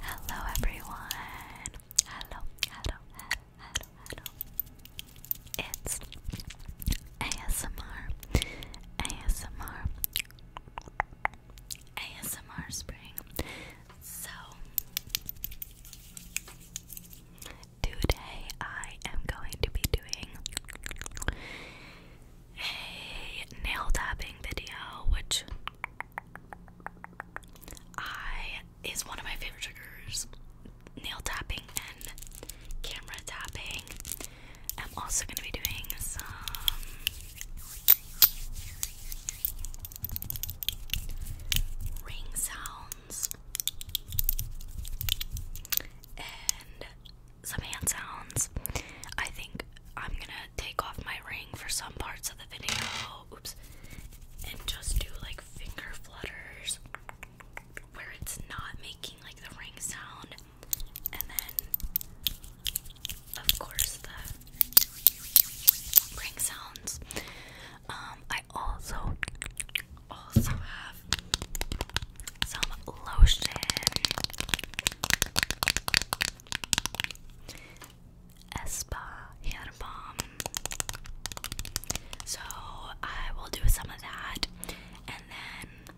Hello everyone. Hello, hello, hello, hello, It's ASMR. ASMR. ASMR spring. So today I am going to be doing a nail tapping video, which I is one of my favorite triggers. Nail tapping and camera tapping. I'm also going to be doing some ring sounds and some hand sounds. I think I'm gonna take off my ring for some parts of the video. Oops. And just do like finger flutters where it's not making like the ring sound. And then, of course, the ring sounds. Um, I also also have some lotion. Espa hair So I will do some of that and then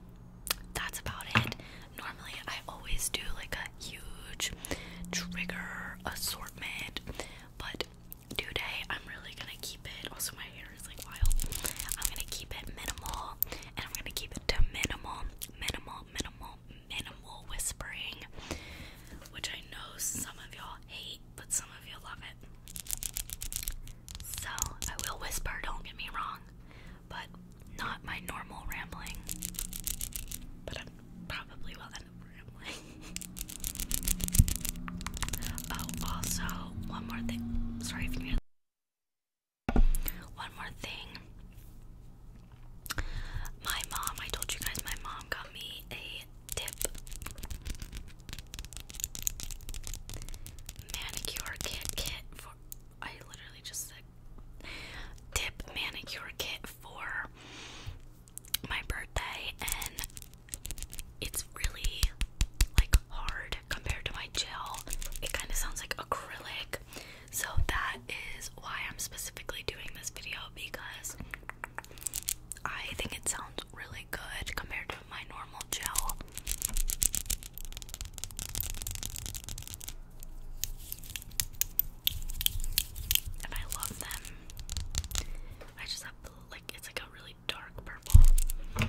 that's about it. Normally I always do like a huge trigger assortment, but today I'm really gonna keep it. Also my hair is like wild. I'm gonna keep it minimal and I'm gonna keep it to minimal minimal, minimal, minimal whispering, which I know some of y'all hate, but some of you all love it. So I will whisper, don't get me wrong, but not my normal rambling. But I probably will end up rambling. oh, also, one more thing. Sorry if you one more thing. My mom, I told you guys, my mom got me a dip manicure kit kit for. I literally just said dip manicure kit for my birthday, and it's really like hard compared to my gel. It kind of sounds like acrylic, so that is why I'm specifically doing this video because I think it sounds really good compared to my normal gel. And I love them. I just have like it's like a really dark purple.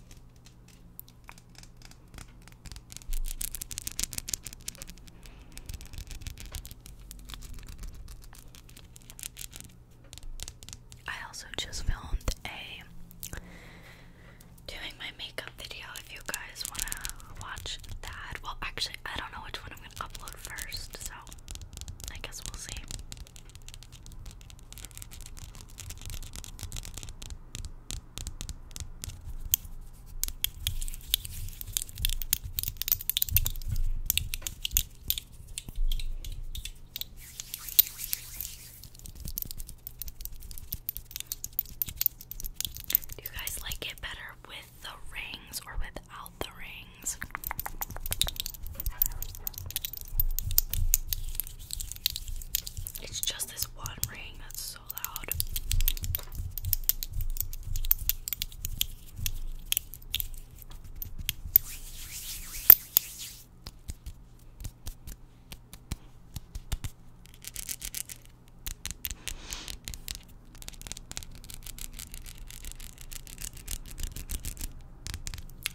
I also just filmed a doing my makeup video if you guys want to watch that. Well, actually, I don't know which one I'm going to upload first, so I guess we'll see. Do you guys like it better with the rings or without the rings? It's just this one ring that's so loud.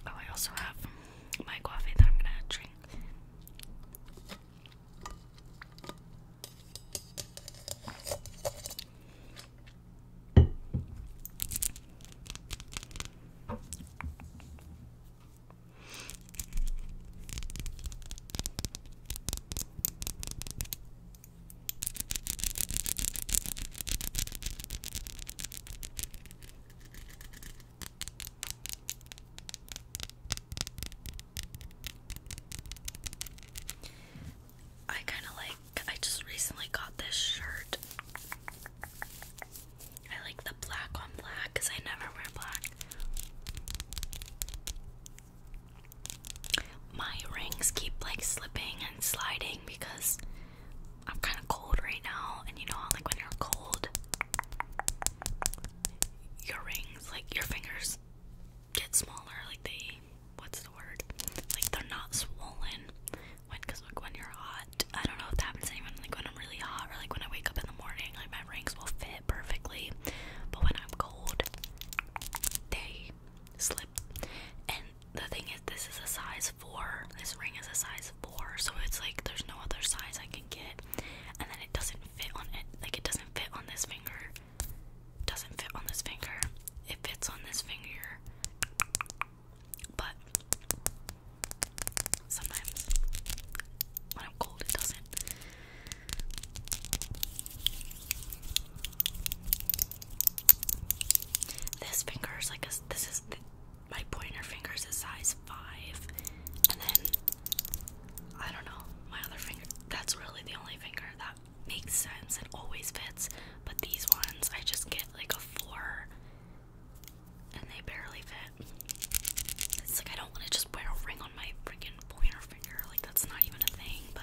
Oh, I also have my coffee that I'm gonna drink. I kind of like, I just recently got this shirt. I like the black on black because I never wear black. My rings keep like slipping and sliding because I'm kind of cold right now, and you know, like when you're cold, your rings, like your fingers, get smaller. Like they, what's the word? Like they're not swollen. When, cause like when you're hot, I don't know if that happens to anyone. Like when I'm really hot, or like when I wake up in the morning, like my rings will fit perfectly. But when I'm cold, they slip. And the thing is, this is a size four. This ring is a size four, so it's like there's no other size I can get. And then it doesn't fit on it. Like it doesn't fit on this finger. Doesn't fit on this finger. It fits on this finger. But sometimes when I'm cold, it doesn't. This finger is like This is my pointer finger's a size five, and then I don't know my other finger. That's really the only finger that makes sense. It always fits, but these ones I just get like a four, and they barely fit. It's like I don't want to just wear a ring on my freaking pointer finger. Like that's not even a thing. But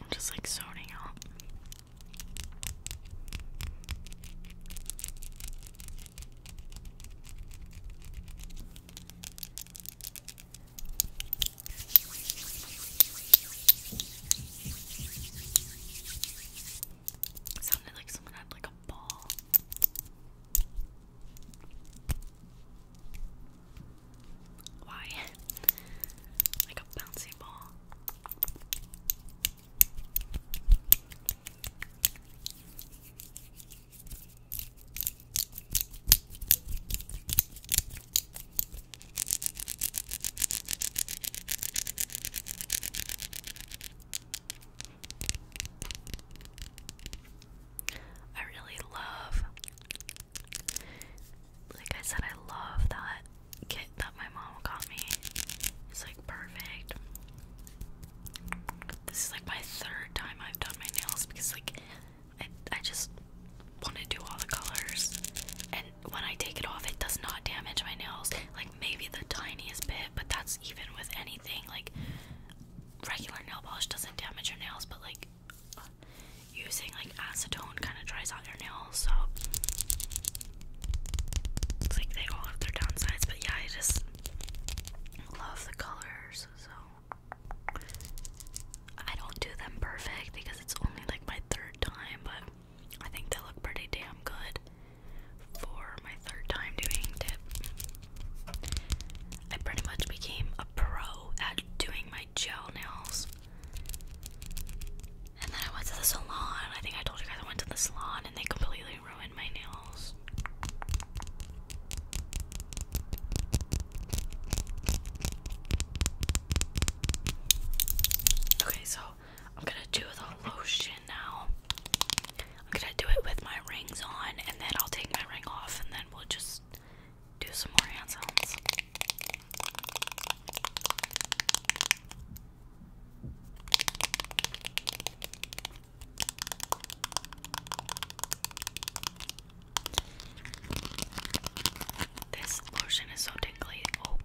I'm just like zoning out. It sounded like someone had like a ball. Why? like a bouncy ball. I really love, like I said, I love that kit that my mom got me is like perfect. This is like my third time I've done my nails because like I, I just want to do all the colors and when I take it off it does not damage my nails like maybe the tiniest bit but that's even with anything like regular nail polish doesn't damage your nails but like using like acetone kind of dries out your nails so like they all have their downsides, but yeah, I just love the colors. So I don't do them perfect because it's only like my third time, but I think they look pretty damn good for my third time doing dip. I pretty much became a pro at doing my gel nails. And then I went to the salon. I think I told you guys I went to the salon and they completely ruined my nails. Okay, so I'm gonna do the lotion now. I'm gonna do it with my rings on and then I'll take my ring off and then we'll just do some more hand sounds. This lotion is so tingly. Oh,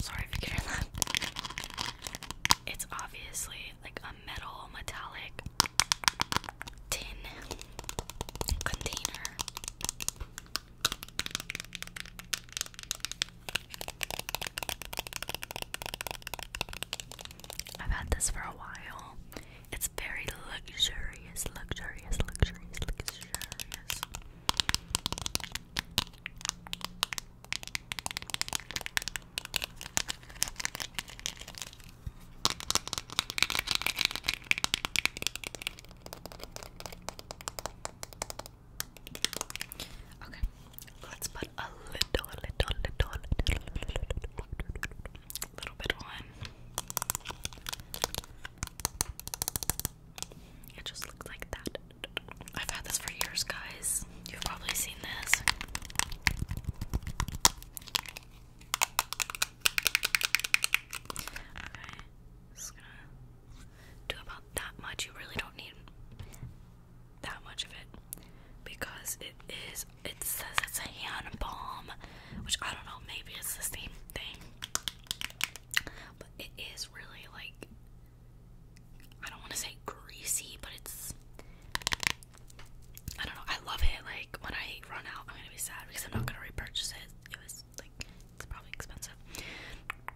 sorry if you can hear that. It's obviously like a metal, metallic tin container. I've had this for a while. It's very luxurious, luxurious, luxurious, luxurious. Okay, let's put a little, little, little, little, little bit on. It just looks like that. I've had this for years, guys. You've probably seen this. Okay, just gonna do about that much. You really don't need that much of it because it is it says it's a hand balm which I don't know maybe it's the same thing but it is really like I don't want to say greasy but it's I don't know I love it like when I run out I'm gonna be sad because I'm not gonna repurchase it it was like it's probably expensive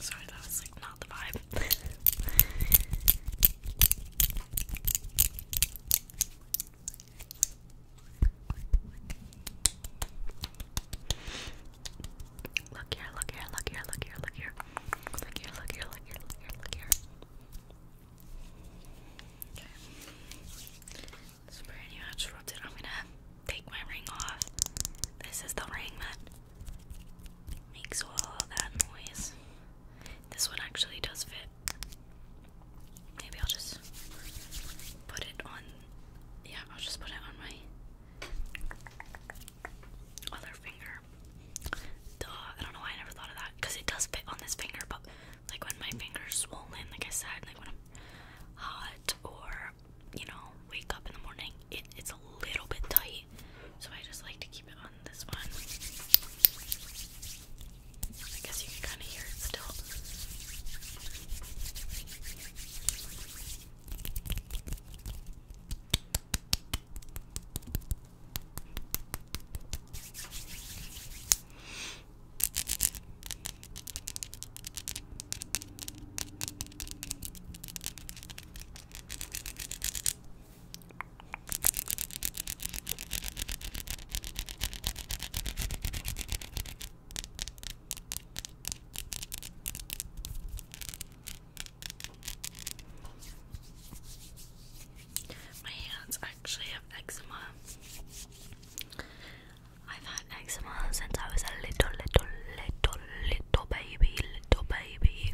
Sorry, that was like not the vibe. Look here, look here, look here, look here, look here. Look here, look here, look here, look here, Okay. It's brand new. I just rubbed it. I'm gonna take my ring off. This is the ring that makes all that noise. This one actually does fit. Maybe I'll just put it on. Yeah, I'll just put it on my other finger. Duh, I don't know why I never thought of that. Because it does fit on this finger, but like when my finger's swollen, like I said, like when I'm hot or, you know, wake up in the morning, it, it's a little bit tight. So I just like to keep it on this one. I guess you can kind of hear it still. My hands actually have eczema. I've had eczema since I was a little, little, little, little baby, little baby,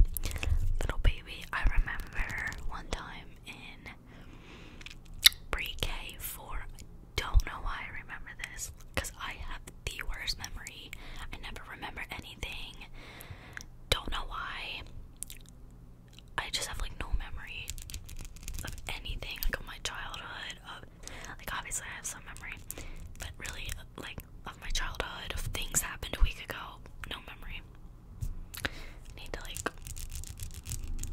little baby. I remember one time in pre K for don't know why I remember this because I have the worst memory. I never remember anything. Don't know why. I just have like no memory of anything like my childhood. like obviously I have some memory, but really like of my childhood of things happened a week ago. No memory. need to like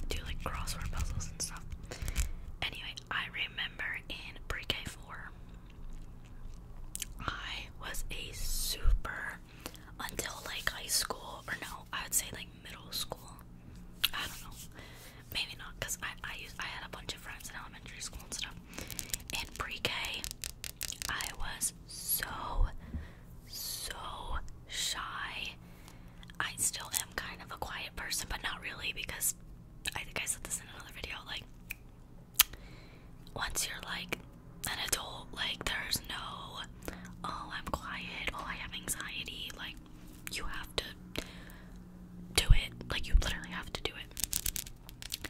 do like crossword puzzles and stuff. Anyway, I remember in pre K four, I was a super until like high school or no, I would say like middle school. I don't know, maybe not because I I I had a bunch of friends in elementary school and stuff. In pre K, I was so so shy I still am kind of a quiet person, but not really because I think I said this in another video. Like, once you're like an adult, like, there's no, oh, I'm quiet, oh, I have anxiety. Like, you have to do it. Like, you literally have to do it.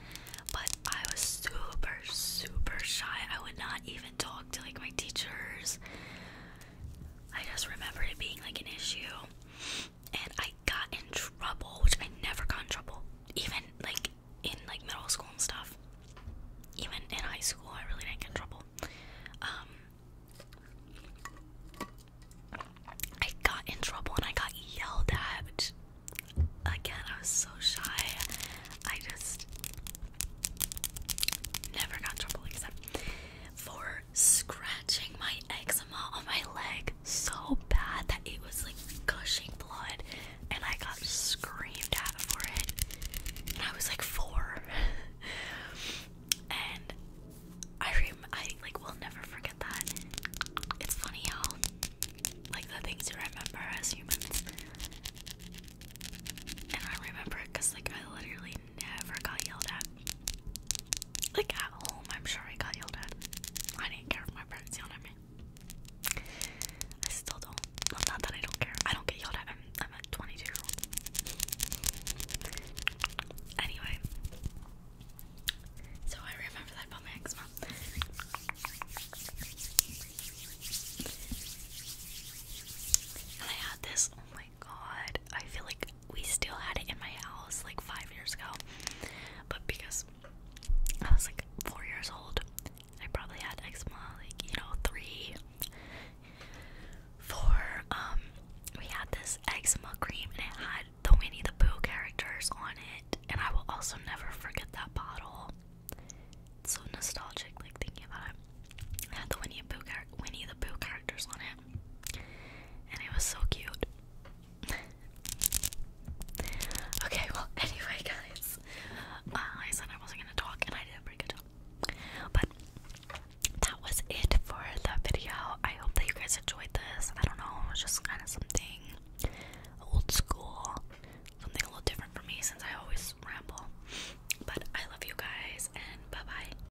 But I was super, super shy. I would not even talk to like my teachers. I just remember it being like an issue and I got in trouble, which I never got in trouble, even like in like middle school and stuff. Even in high school, I really didn't get in trouble. Um, I got in trouble and I got yelled at. Which, again, I was so shy. I just never got trouble except for scratching my eczema on my leg so bad that it was like gushing blood and I got screamed at for it. And I was like four. and I I like will never forget that. It's funny how like the things you remember as humans. And I remember it because like I literally I never got yelled at. Like at home, I'm sure I got yelled at. I didn't care if my parents yelled at me. I still don't. Well, not that I don't care. I don't get yelled at. I'm, I'm a 22 year old. Anyway. So I remember that about my eczema. And I had this, oh my god, I feel like we still had it in my house like five years ago, but because I was like four years old, I probably had eczema like you know three, four. Um, we had this eczema cream and it had the Winnie the Pooh characters on it, and I will also never forget that bottle. so nostalgic, like thinking about it. It had the Winnie the Pooh, Winnie the Pooh characters on it and it was so cute. okay, well, anyway, guys, uh, I said I wasn't gonna talk, and I did a pretty good job. But that was it for the video. I hope that you guys enjoyed this. I don't know, it was just kind of something old school, something a little different for me since I always ramble. But I love you guys, and bye bye.